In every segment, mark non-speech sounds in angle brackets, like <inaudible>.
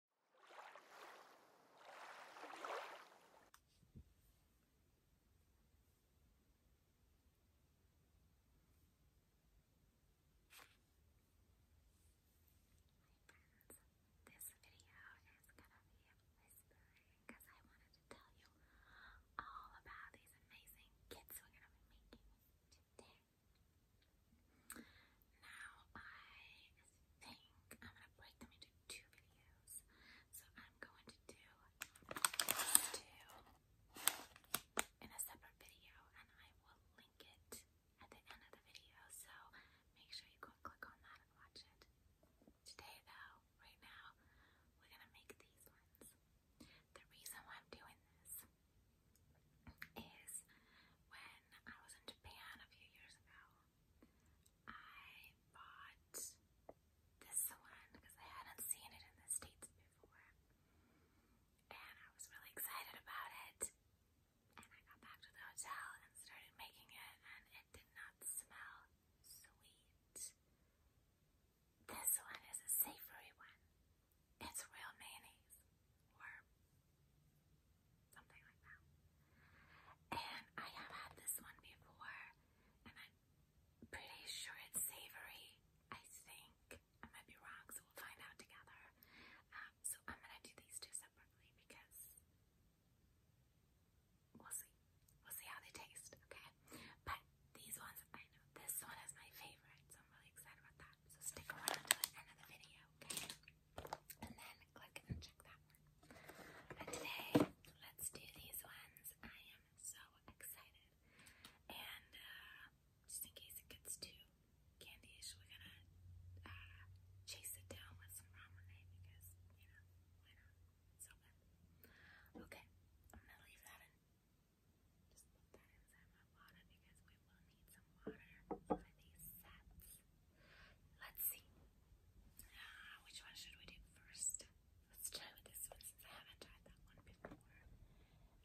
this video is gonna be whispering because I wanted to tell you all about these amazing kits we're gonna be making today. Now I think I'm gonna break them into two videos. So I'm going to do two in a separate video and I will link it at the end of the video. So make sure you go click on that and watch it. Today though, right now, we're gonna make these ones. The reason why I'm doing this is when I was in Japan a few years ago, I bought this one because I hadn't seen it in the States before. And I was really excited about it. And I got back to the hotel and started making it, and it did not smell sweet. This one is a savory one. It's real mayonnaise or something like that. And I have had this one before, and I'm pretty sure it's savory. I think I might be wrong, so we'll find out together. Um, so I'm gonna do these two separately because we'll see. We'll see how they taste, okay? But these ones, I know this one is my favorite, so I'm really excited about that. So stick around to the end of the video, okay? and then click and check that one. And today, let's do these ones. I am so excited. And uh, just in case it gets too candyish, we're gonna uh, chase it down with some ramen eh, because, you know, why not? so good. Okay, I'm gonna leave that Just put that inside my water because we will need some water for these sets. Let's see. Uh, which one should we do first? Let's try with this one since I haven't tried that one before.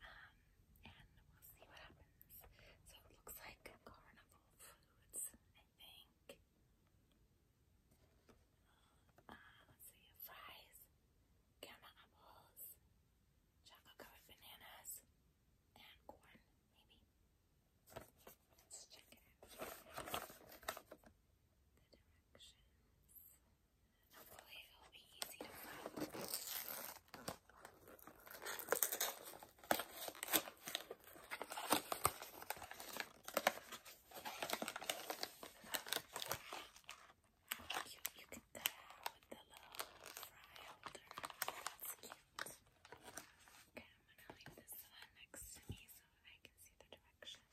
Um, and we'll see what happens. So it looks like Carnival Foods, I think. Uh, let's see, fries, gamma apples, chocolate covered bananas, and corn, maybe. Let's check it out. The directions. Hopefully it'll be easy to find. you can cut out with the little fry holder. That's cute. Okay. I'm gonna leave this one next to me so I can see the directions.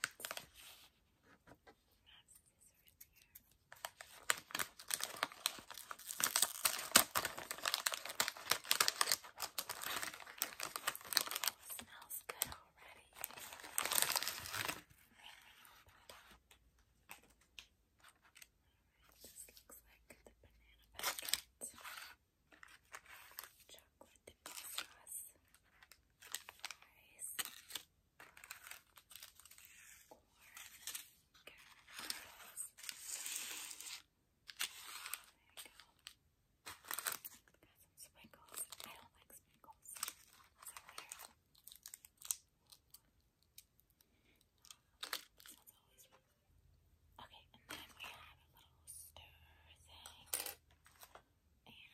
That's scissors here. smells good already. This looks like the banana packet chocolate dip sauce, fries, corn, caramels. There you go. Got sprinkles. I don't like sprinkles. So always Okay, and then we have a little stir thing and little twigs. Let's see.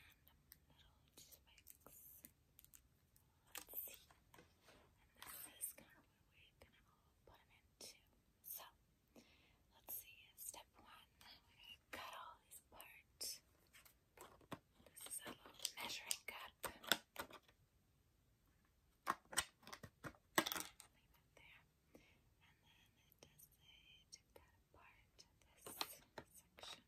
And this is kind of what we're gonna put them into. So let's see. Step one, we cut all these apart. This is a little measuring cup. Leave it there. And then it does say to cut apart this section.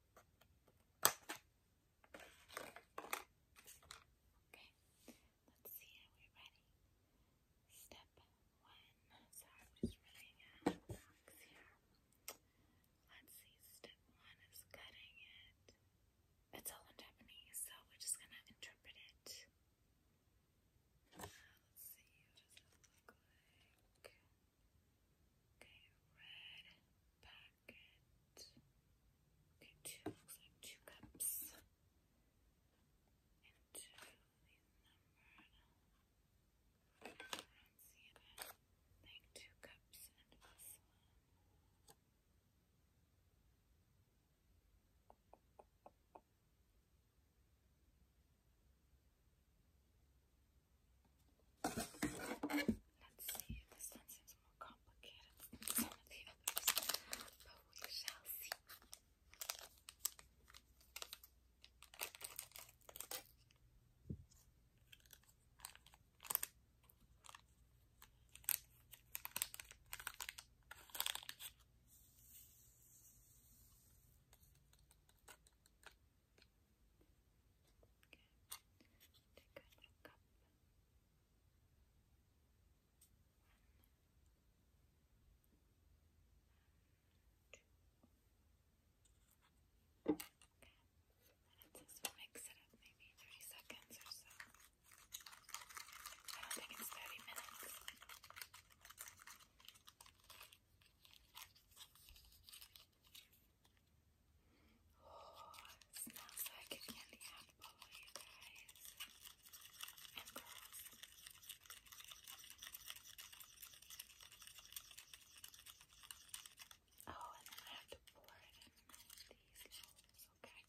Okay, let's see. Are we ready? Step one. So I'm just out of blocks here. Let's see. Step one is cutting it. It's all in Japanese, so we're just gonna interpret it. let's see. Okay, red packet. Okay, two looks like two cups. And two these numbered. I don't see it. Like two cups and this one. Let's see, this one seems more complicated but we shall see. Okay, take a mix it up maybe 30 seconds or so. I don't think it's 30 minutes. Oh, smells like candy apple, you guys Oh, and then I have to pour it in these little Okay,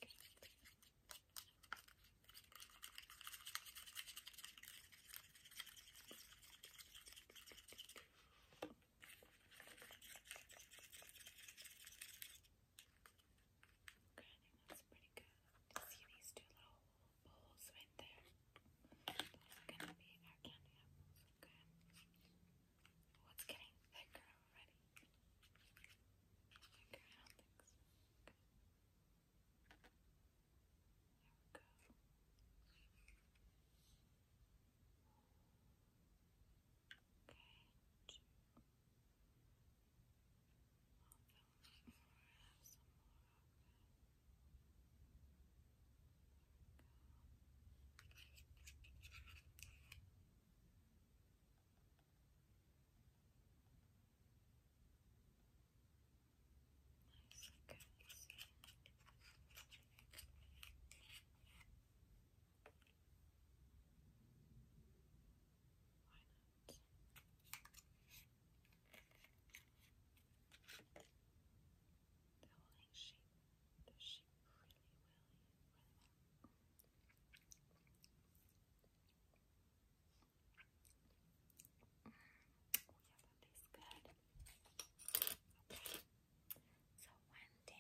Okay, I that's pretty good. See these two little bowls right there? Those are gonna be our candy apples, okay? Oh, getting thicker already. Thicker, I don't think so. Okay. Nice Nice and they're holding sheep. The sheep really, really, really well. Oh yeah, that tastes good. So one down.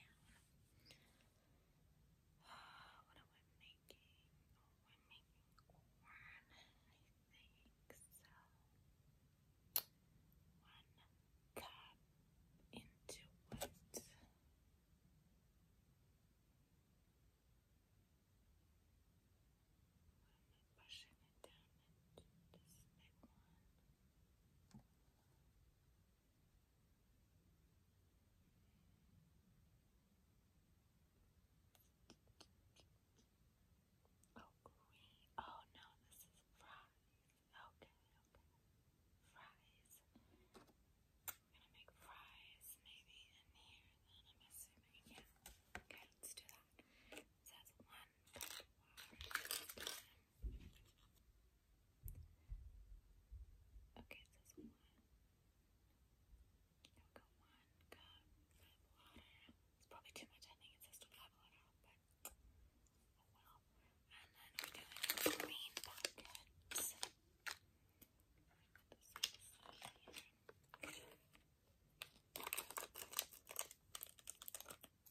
Oh, what am I making? Oh, i making corn, I think so. One cup into what? i pushing it down into this big one. Oh, green. Oh, no, this is fries. Okay, Fries. I'm gonna make fries maybe in here, then I'm assuming. Yeah. Okay, let's do that. So One Okay, it says one. There we go, one cup of water. It's probably too much, I it says to blah but oh well. And then we're doing green packets.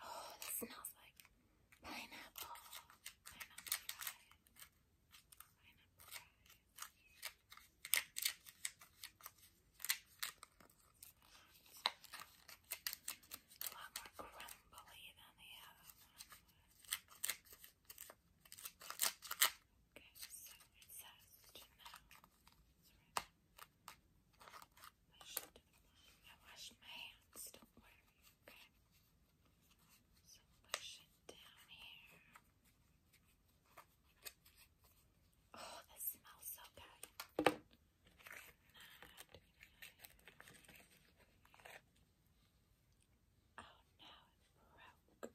Oh, this smells like pineapple. Pineapple pie. Pineapple pie. A lot more crumbly than the other one. Okay, so it says to I washed my hands, don't worry, okay? So push it down here. Oh, this smells so good. Oh no, it broke.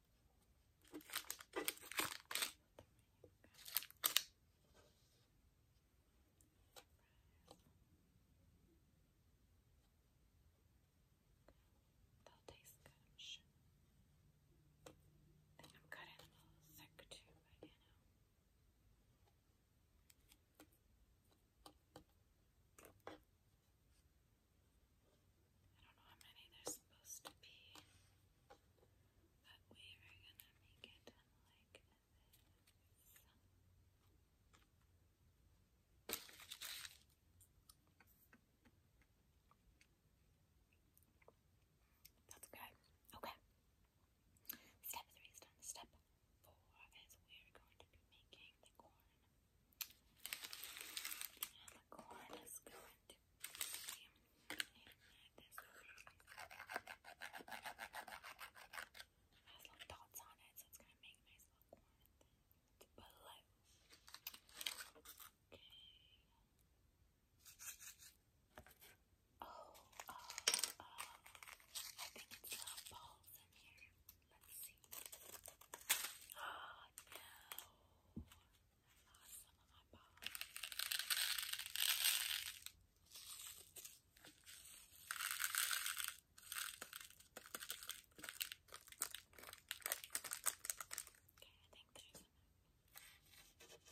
They'll taste good, i think I'm cutting a little thick too, you I don't know how many there's supposed to be. But we That's good. Okay. Step three is done. Step four is we're going to be making the corn. And the corn is going has little dots on it, so it's gonna make nice little corn It's blue. Okay. Oh, oh, oh. I think it's little balls in here. Let's see. Oh, <gasps> no. I lost some of my balls. Okay, I think there's enough. Then what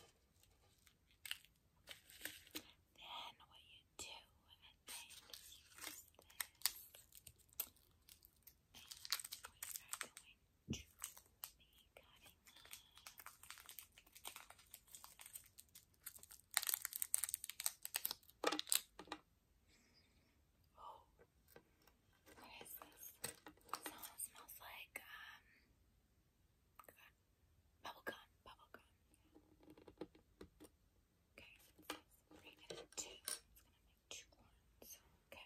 you do, I think, is this. And we are going to be Oh, what is this? smells like um bubble gum, bubble gum. Okay, let's rate it at It's gonna make two ones. Okay.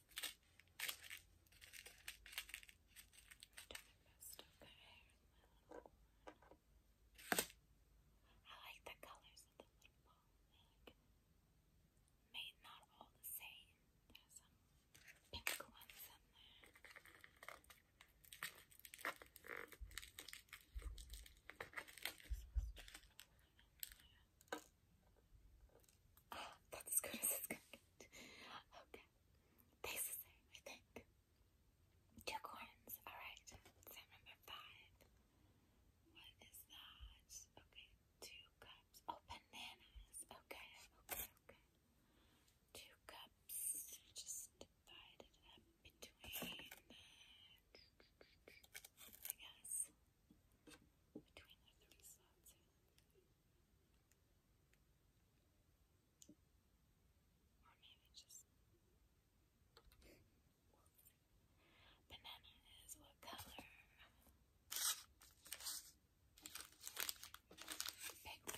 Best, okay. I like the colors of the little ball. Like, made not all the same. There's some pink ones in there. <gasps> that's good as it's Okay. same, I think. Two corns. Alright. Sam number five. What is that? Okay. Two cups. Oh, bananas. Okay. Okay. Okay. Two cups. Just divide it up between. I guess between the three slots here. Or maybe just banana is what color? Pink.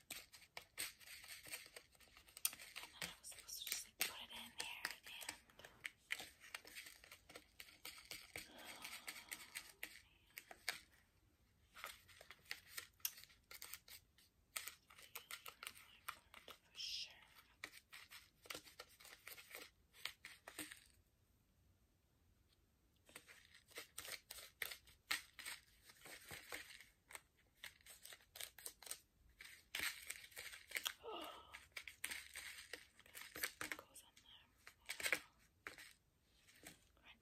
And then I was supposed to just put it in there and. sure what goes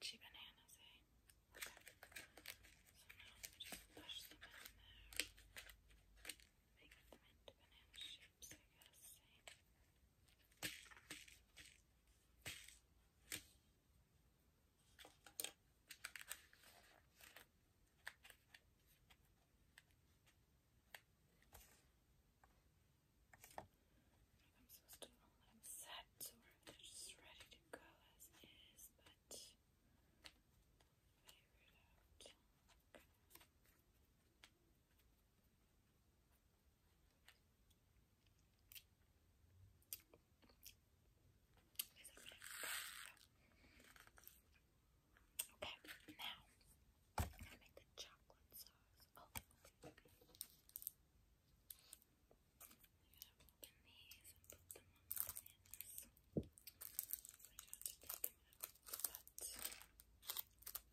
bananas, eh? So now we just push them in there. Make them into banana shapes, I guess, eh? I'm supposed to know I'm set, so we're just ready to go as is, but figure it out. Okay, now I'm gonna make the chocolate sauce. Oh, okay. to open these and put them on the bananas. So you have to take them out. But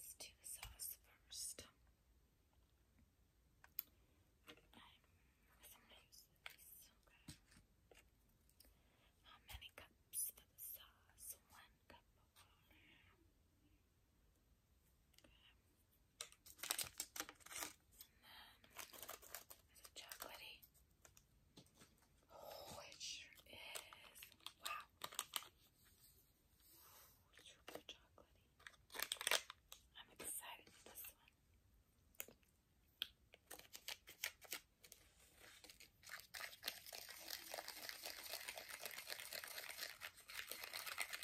let's do the sauce first. How many cups for the sauce? One cup of water. And then, is it chocolatey? Oh, it sure is. Wow. super chocolatey. I'm excited for this one.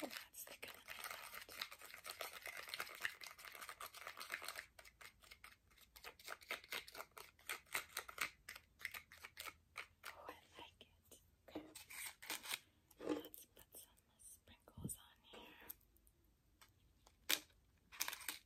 Oh, that's thicker than I thought. Oh, I like it. Okay. Let's put some sprinkles on here.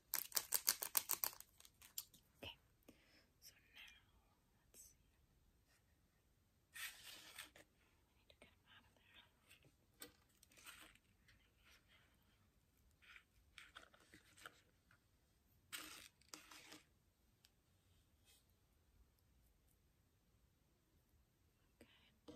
Okay, so now let's see. I need to get him out of there. Okay.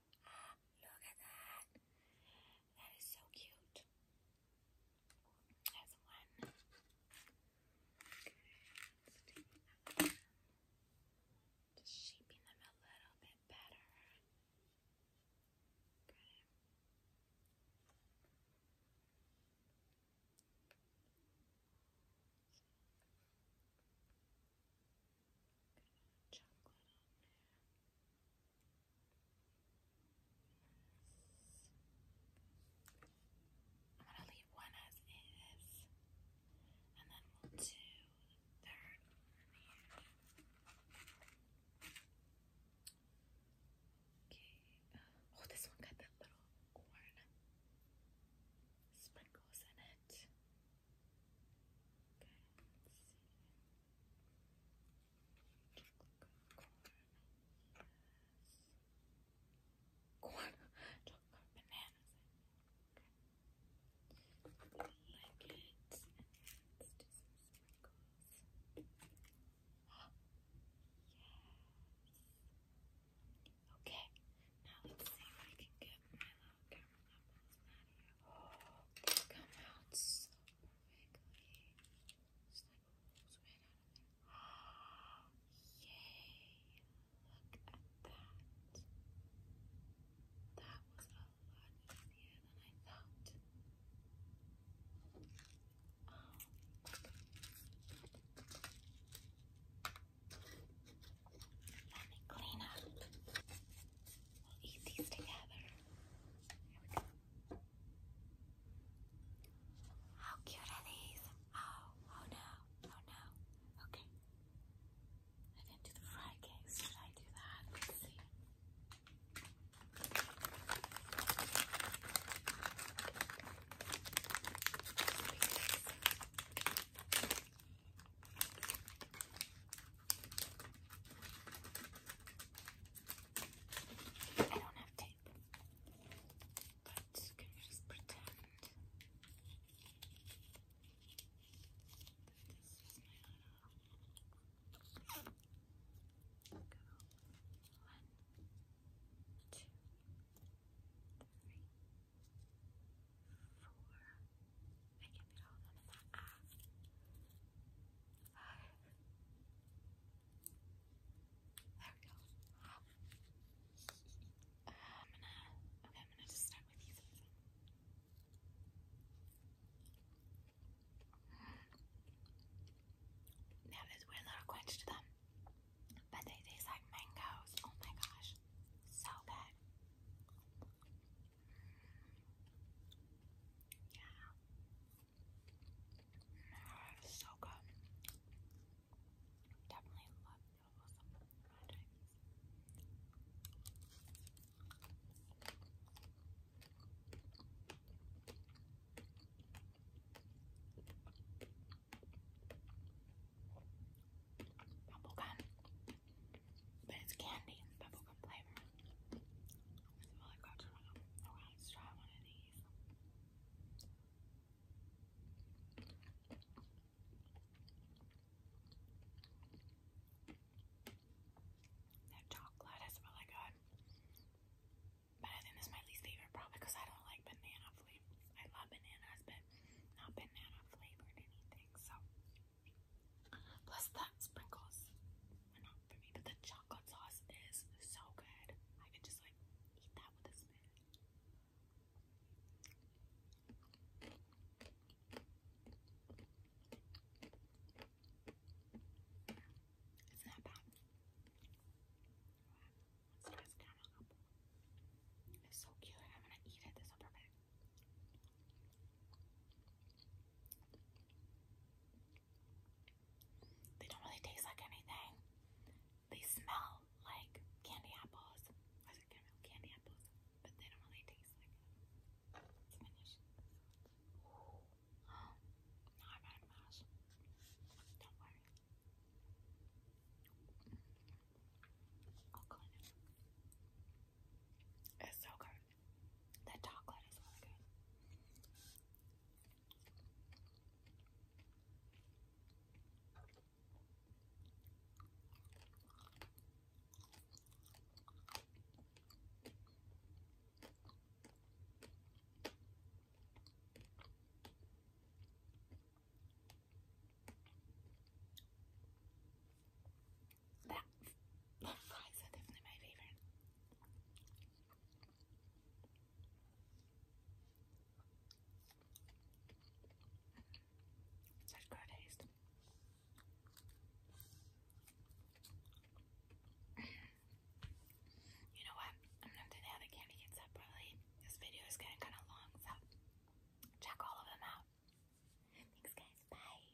Look at that. That is so cute. That's one. Okay, let's Just shaping them a little bit better. Okay. Okay. Good amount I'm gonna leave one as is, and then we'll do third Okay. Uh, oh, this one got that little corn sprinkles in it. Corn, chocolate bananas. Okay. Like it, let's do some sprinkles. yes. Okay, now let's see if I can get my little caramel apples they come out so perfectly. Yay! Look at that. That was a lot easier than I thought. let me clean up. We'll eat these together. Here we go. How cute are these? Oh, oh no, oh no. Okay. I didn't do the fry case. Should I do that? Let's see. I don't have tape, but can just pretend One, two, three, four, I can feel them in that eye. Five. There we go. I'm gonna, okay, I'm gonna just start with you. They this weird little crunch to them, but they taste like mangoes. Oh my gosh, so good. Yeah. It's so good. Definitely love those projects. Bubblegum but it's candy and bubblegum flavor. Oh, that chocolate is really good. But I think this is my least favorite probably because I don't like banana flavor. I love bananas, but not banana flavored anything. So Plus the sprinkles were not for me, but the chocolate sauce is so good. I could just like eat that with a spoon. It's not bad. It's so cute. I'm gonna eat it. This will perfect. They don't really taste like anything. They smell like candy apples. I said candy apples, but they don't really taste like it. finish. Oh, I'm out of mash. Don't worry. I'll clean it. It's so good. The chocolate is really good that fries are definitely my favorite. Such good taste. you know what? I'm gonna do the other candy kids separately. This video is getting kind of long, so check all of them out. Thanks, guys. Bye.